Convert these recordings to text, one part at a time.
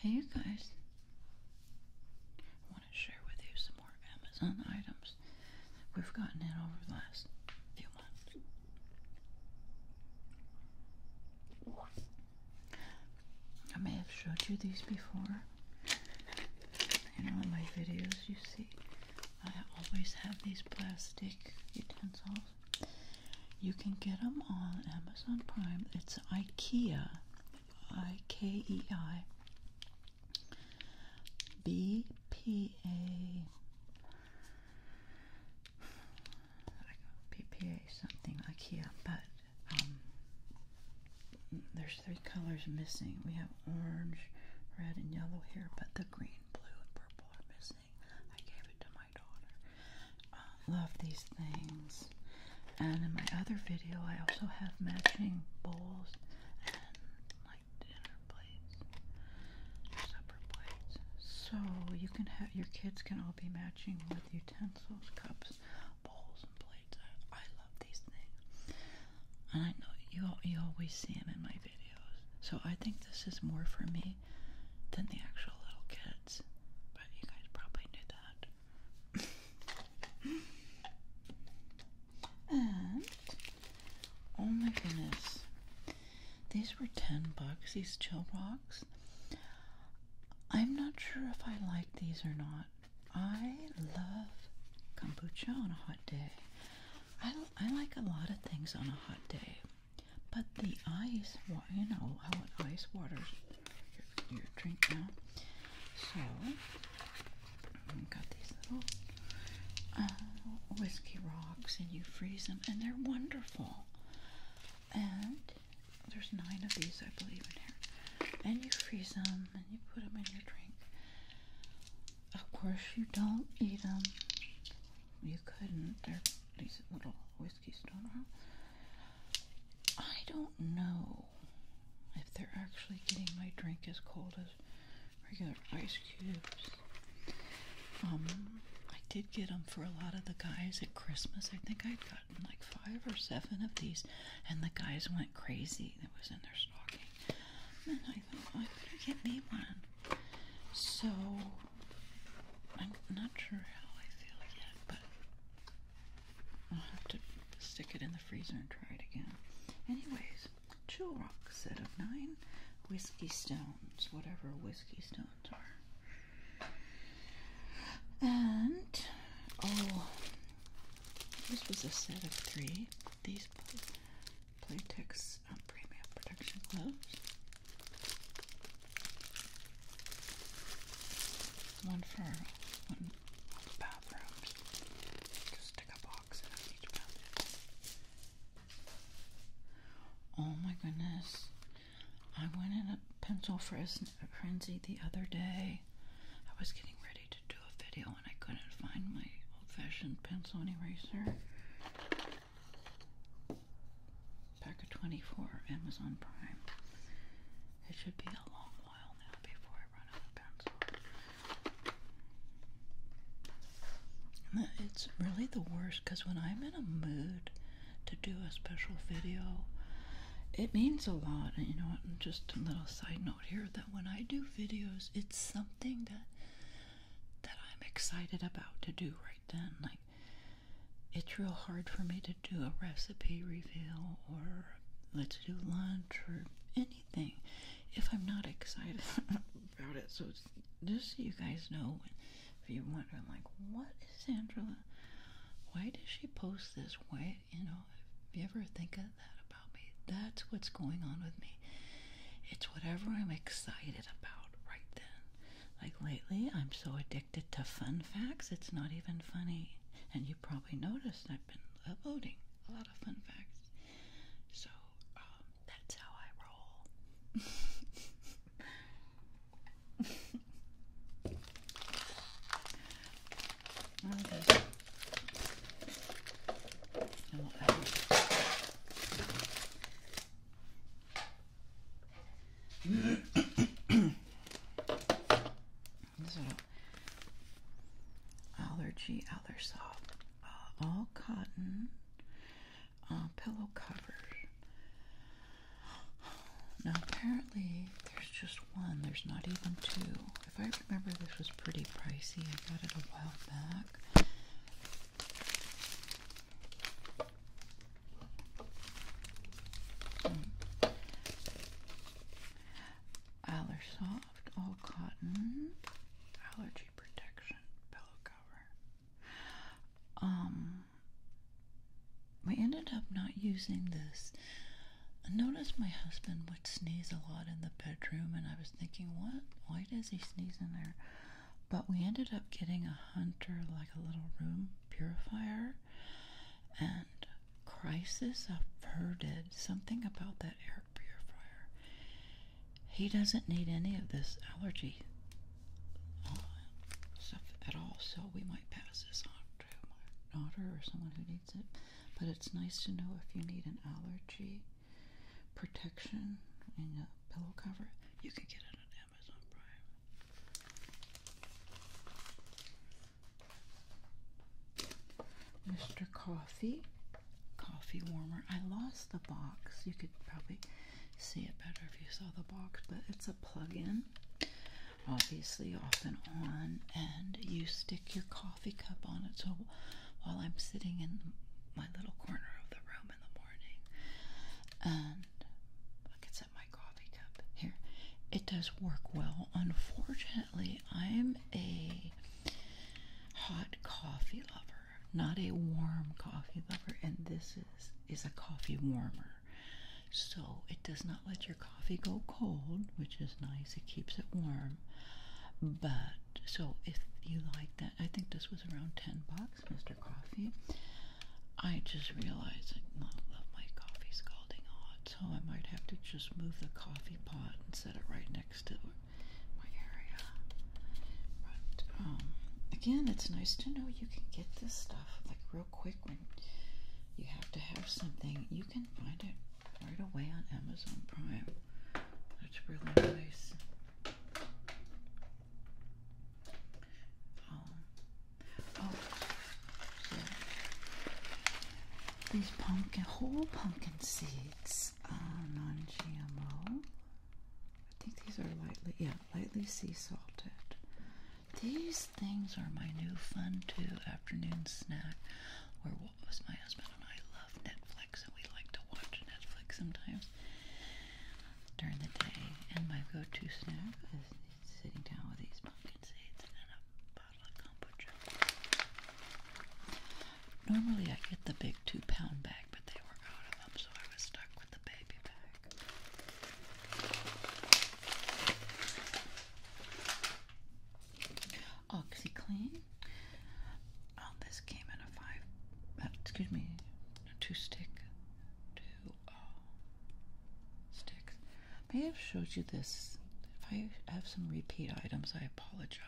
Hey you guys, I want to share with you some more Amazon items we've gotten in over the last few months. I may have showed you these before. In all my videos you see, I always have these plastic utensils you can get them on Amazon Prime. It's IKEA, I K E I B P A. PPA something IKEA, but um, there's three colors missing. We have orange, red, and yellow here, but the green, blue, and purple are missing. I gave it to my um, love these things. And in my other video, I also have matching bowls and like dinner plates, supper plates. So you can have your kids can all be matching with utensils, cups, bowls, and plates. I, I love these things, and I know you you always see them in my videos. So I think this is more for me than the actual little kid but you guys probably knew that. and oh my goodness, these were ten bucks. These chill rocks. I'm not sure if I like these or not. I love kombucha on a hot day. I, I like a lot of things on a hot day. But the ice, well, you know, I want ice water for your drink now. So, I've got these little uh, whiskey rocks, and you freeze them, and they're wonderful. And there's nine of these, I believe, in here. And you freeze them, and you put them in your drink. Of course, you don't eat them. You couldn't. They're these little whiskey I don't know if they're actually getting my drink as cold as regular ice cubes. Um, I did get them for a lot of the guys at Christmas. I think I'd gotten like five or seven of these, and the guys went crazy. It was in their stocking. And I thought, I better get me one. So I'm not sure how I feel yet, but I'll have to stick it in the freezer and try it again. Anyways, Chill Rock set of nine whiskey stones, whatever whiskey stones are. And oh, this was a set of three. These Playtex um, Premium Production gloves. One for bathrooms. Just stick a box in each bathroom. Oh my goodness. I went in a pencil frenzy the other day. I was getting ready to do a video and I couldn't find my old fashioned pencil eraser. Pack of 24, Amazon Prime. It should be a long while now before I run out of pencil. it's really the worst because when I'm in a mood to do a special video, it means a lot. And you know what? Just a little side note here that when I do videos, it's something that that I'm excited about to do right then. Like it's real hard for me to do a recipe reveal or let's do lunch or anything if I'm not excited about it. So just so you guys know, if you wonder, like, what is Angela? Why does she post this? way? you know, if you ever think of that about me, that's what's going on with me. It's whatever I'm excited about right then. Like lately, I'm so addicted to fun facts, it's not even funny. And you probably noticed I've been uploading a lot of fun facts. So, um, that's how I roll. i um, this is allergy Allersoft, uh, all cotton uh, pillow cover. Now apparently there's just one. There's not even two. If I remember, this was pretty pricey. I got it a while back. AllerSoft, All Cotton Allergy Protection Pillow Cover. Um, we ended up not using this. I noticed my husband would sneeze a lot in the bedroom, and I was thinking, what? Why does he sneeze in there? But we ended up getting a hunter, like a little room purifier, and crisis averted. Something about that air purifier. He doesn't need any of this allergy uh, stuff at all, so we might pass this on to my daughter or someone who needs it. But it's nice to know if you need an allergy protection and a pillow cover, you can get it at Mr. Coffee, coffee warmer. I lost the box. You could probably see it better if you saw the box, but it's a plug-in. Obviously off and on, and you stick your coffee cup on it. So while I'm sitting in my little corner of the room, in the morning and I can set my coffee cup here. It does work well. Unfortunately, I'm a hot coffee lover, not a warm coffee lover, and this is is a coffee warmer. So it does not let your coffee go cold, which is nice. It keeps it warm. But so if you like that, I think this was around 10 bucks. Mr. Coffee. I just realized I don't love my coffee scalding hot, so I might have to just move the coffee pot and set it right next to my area. But um, again, it's nice to know you can get this stuff like real quick when you have to have something. You can find it right away on Amazon Prime. That's really nice. Oh, these pumpkin, whole pumpkin seeds are non-GMO. I think these are lightly, yeah, lightly sea salted. These things are my new fun too afternoon snack. Where what was my husband and I love Netflix and we like to watch Netflix sometimes during the day. And my go-to snack is sitting down with these pumpkin seeds and a bottle of kombucha. Normally I get the big two-pound bag, but they were out of them, so I was stuck with the baby bag. OxyClean. Um, this came in a five, uh, excuse me, two-stick, two oh, sticks. May I have showed you this. If I have some repeat items, I apologize.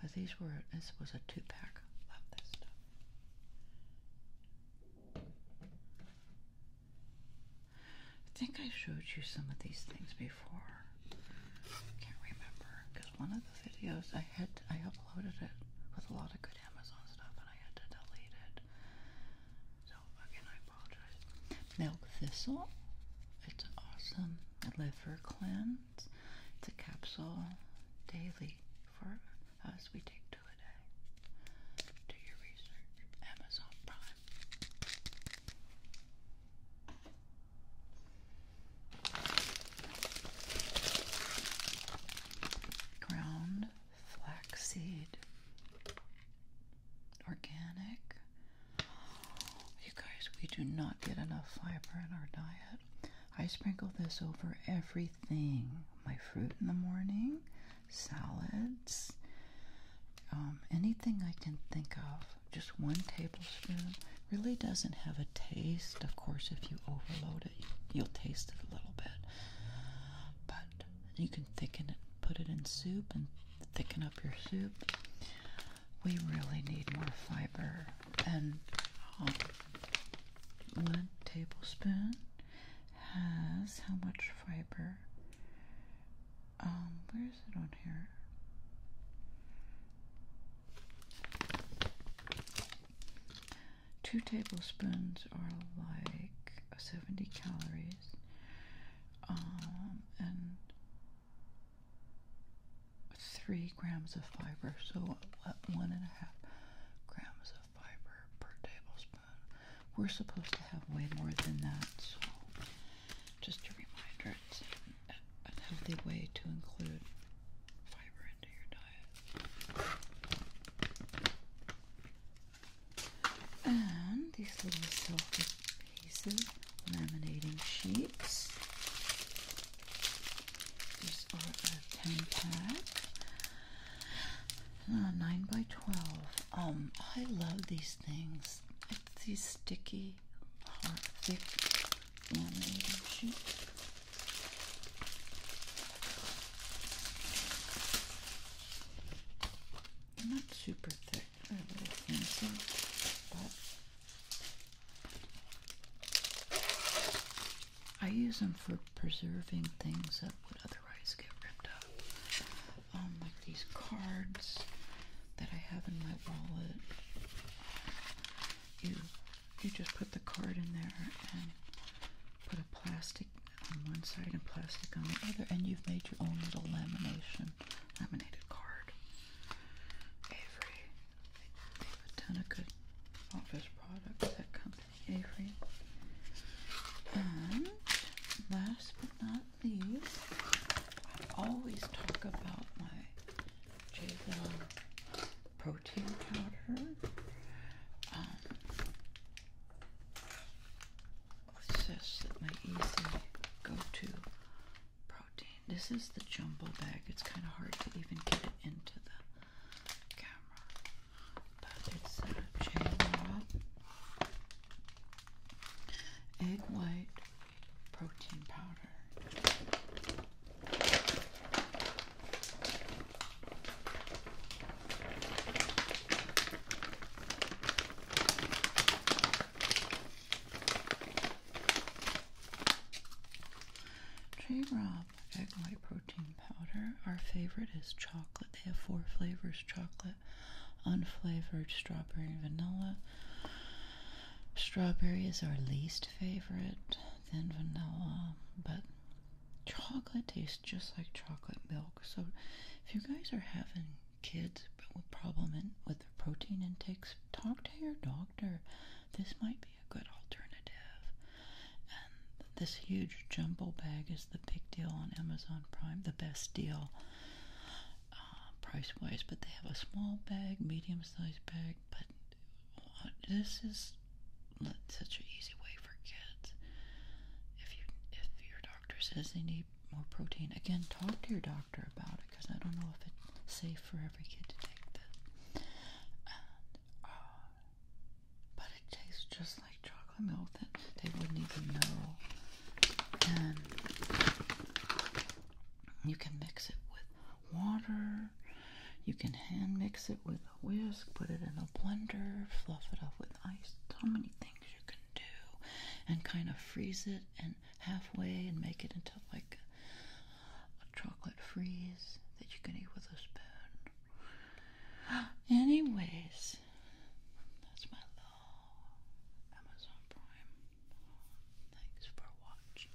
But these were this was a two pack. Love this stuff. I think I showed you some of these things before. Can't remember because one of the videos I had I uploaded it with a lot of good Milk Thistle. It's awesome. Liver cleanse. It's a capsule daily for us. We take two a day. Do your research. Amazon Prime ground flaxseed, organic. You guys, we do not get enough fiber in our diet. I sprinkle this over everything my fruit in the morning, salads, um, anything I can think of. Just one tablespoon really doesn't have a taste. Of course, if you overload it, you'll taste it a little bit. But you can thicken it, put it in soup, and thicken up your soup. We really need more fiber. And um, one tablespoon has how much fiber? Um, where is it on here? Two tablespoons are like 70 calories, um, and three grams of fiber. So one and a half grams of fiber per tablespoon. We're supposed to have way more than that, so just a reminder, it's a healthy way to include fiber into your diet. And these little silky pieces, laminating sheets. These are a 10 pack. 9 by 12. Um, I love these things. It's these sticky, hard, thick laminating sheets. Not super thick, I use them for preserving things that would otherwise get ripped up. Um, like these cards that I have in my wallet you just put the card in there and put a plastic on one side and plastic on the other, and you've made your own little lamination, laminated card. Avery, they've done a good office product that company, Avery. And last but not least, I always talk about my Javon protein powder. Um, what's this? My easy go-to protein. This is the jumbo bag. It's kind of hard to even get it into the camera, but it's a uh, chain egg white protein powder. Tree Rob egg white protein powder. Our favorite is chocolate. They have four flavors chocolate, unflavored, strawberry, and vanilla. Strawberry is our least favorite, then vanilla, but chocolate tastes just like chocolate milk. So if you guys are having kids with problem with their protein intakes, talk to your doctor. This might be a good alternative. And this huge jumbo bag is the big deal on Amazon Prime, the best deal uh, price wise. But they have a small bag, medium sized bag, but this is such an easy way for kids. If if your doctor says they need more protein, again, talk to your doctor about it because I don't know if it's safe for every kid to take this. Uh, but it tastes just like chocolate milk that they wouldn't even know. And you can mix it with water you can hand mix it with a whisk, put it in a blender, fluff it up with ice. So many things you can do, and kind of freeze it and halfway and make it into like a chocolate freeze that you can eat with a spoon. Anyways, that's my little Amazon Prime. Thanks for watching.